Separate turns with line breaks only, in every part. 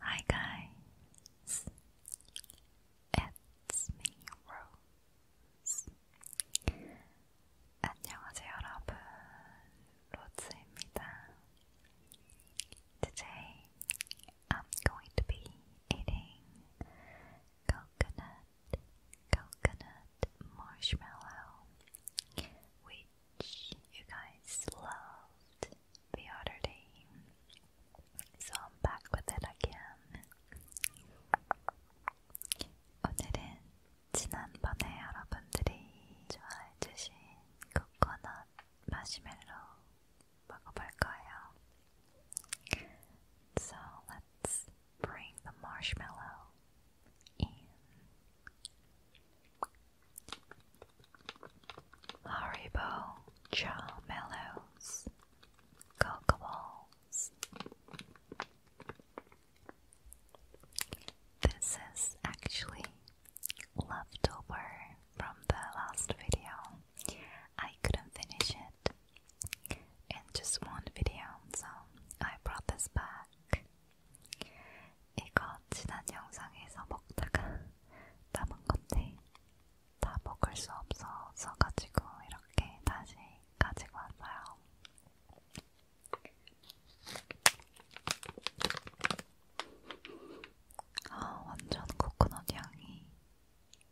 Hi guys, it's me Rose. 안녕하세요 여러분, 로즈입니다. Today I'm going to be eating coconut, coconut marshmallow, which you guys loved the other day. So I'm back with it again. 오늘은 지난번에 여러분들이 좋아해주신 코코넛 마시멜로 먹어볼 거예요. So let's bring the marshmallow in. Haribo Charmellows, Cocoa Balls. This is actually leftover from the last video. I couldn't finish it in just one video. So I brought this back. 이거 지난 영상에서 먹다가 남은 건데 다 먹을 수 없어서 가지고 이렇게 다시 가지고 왔어요. 아, 완전 코코넛 향이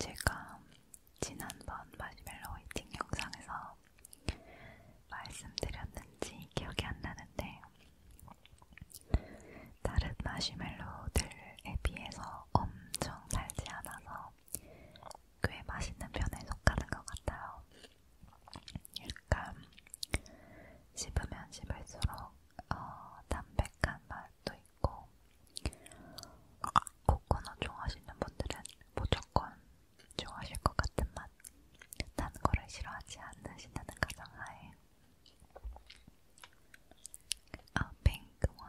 제가 지난번 마시멜로 웨이팅 영상에서 말씀드렸는지 기억이 안 나는데 다른 마시멜로들에 비해서 엄청 달지 않아서 꽤 맛있는 편에 속하는 것 같아요. 약간 씹으면 씹을수록 어, 담백한 맛도 있고 코코넛 좋아하시는 분들은 무조건 좋아하실 것 같은 맛. 단 거를 싫어하지 않으신다는 가정하에 a pink one.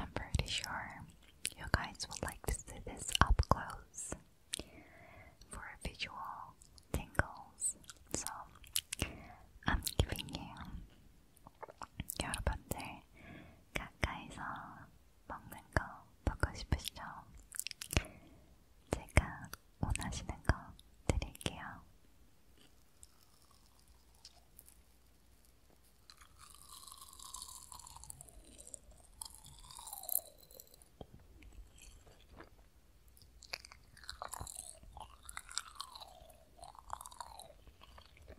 I'm pretty sure you guys would like to see this up close for visual tingles, so I'm giving you 여러분들 가까이서 먹는 거 먹고 싶으시죠? 제가 원하시는 거 드릴게요.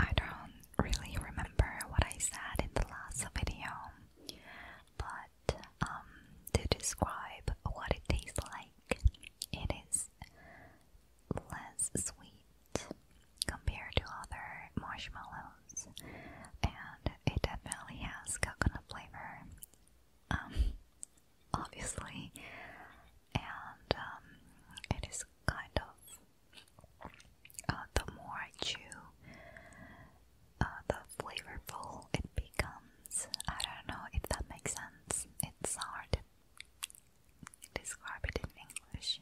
I don't really remember what I said in the last video, but um, to describe what it tastes like, it is less sweet compared to other marshmallows, and it definitely has coconut flavor, um, obviously, and um, it is kind of uh, the more I chew, uh, the flavorful it becomes. I don't know if that makes sense. It's hard to describe it in English.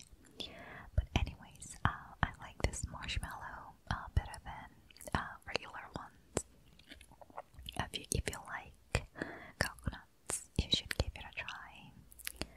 But anyways, uh, I like this marshmallow uh, better than regular ones. If you, if you like coconuts, you should give it a try.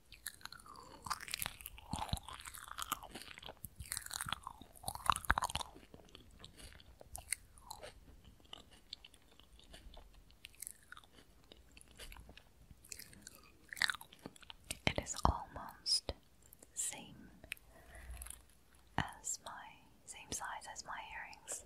It is almost same as my same size as my earrings.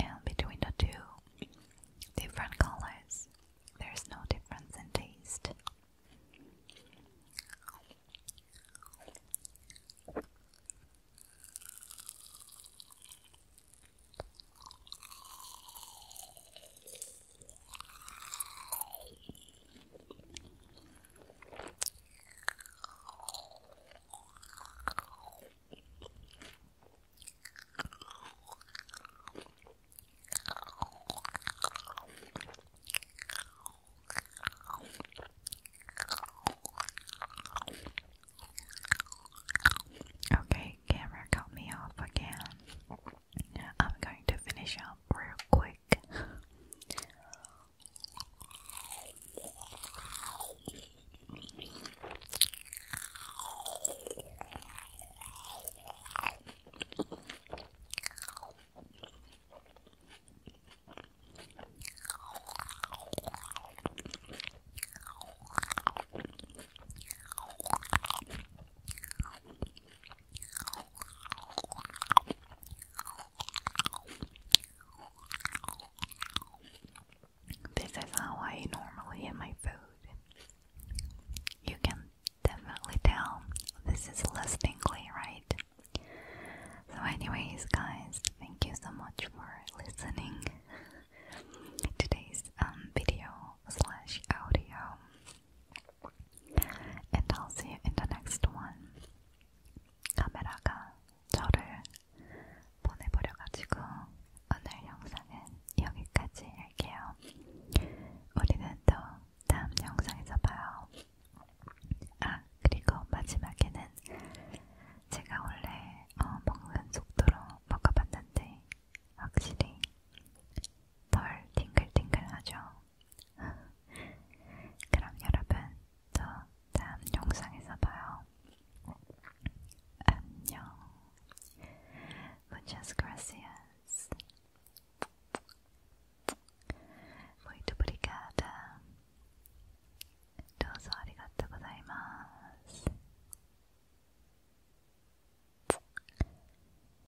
And between the two different colors, there's no difference in taste. Okay, camera cut me off again. I'm going to finish up real quick. This is how I normally eat my food. You can definitely tell this is less tingly, right? So, anyways, guys, thank you so much for listening today's um video slash audio. And I'll see you in the next one. 카메라가 저를 보내버려가지고 오늘 영상은 여기까지 할게요. 우리는 또 다음 영상에서 봐요. 아 그리고 마지막에는 제가 원래 어, 먹는 속도로 먹어봤는데 확실히 덜 팅글팅글하죠. 그럼 여러분, 저 다음 영상에서 봐요. 안녕. Muchas gracias. Muito obrigada. 도서 아리가토 고자이마스.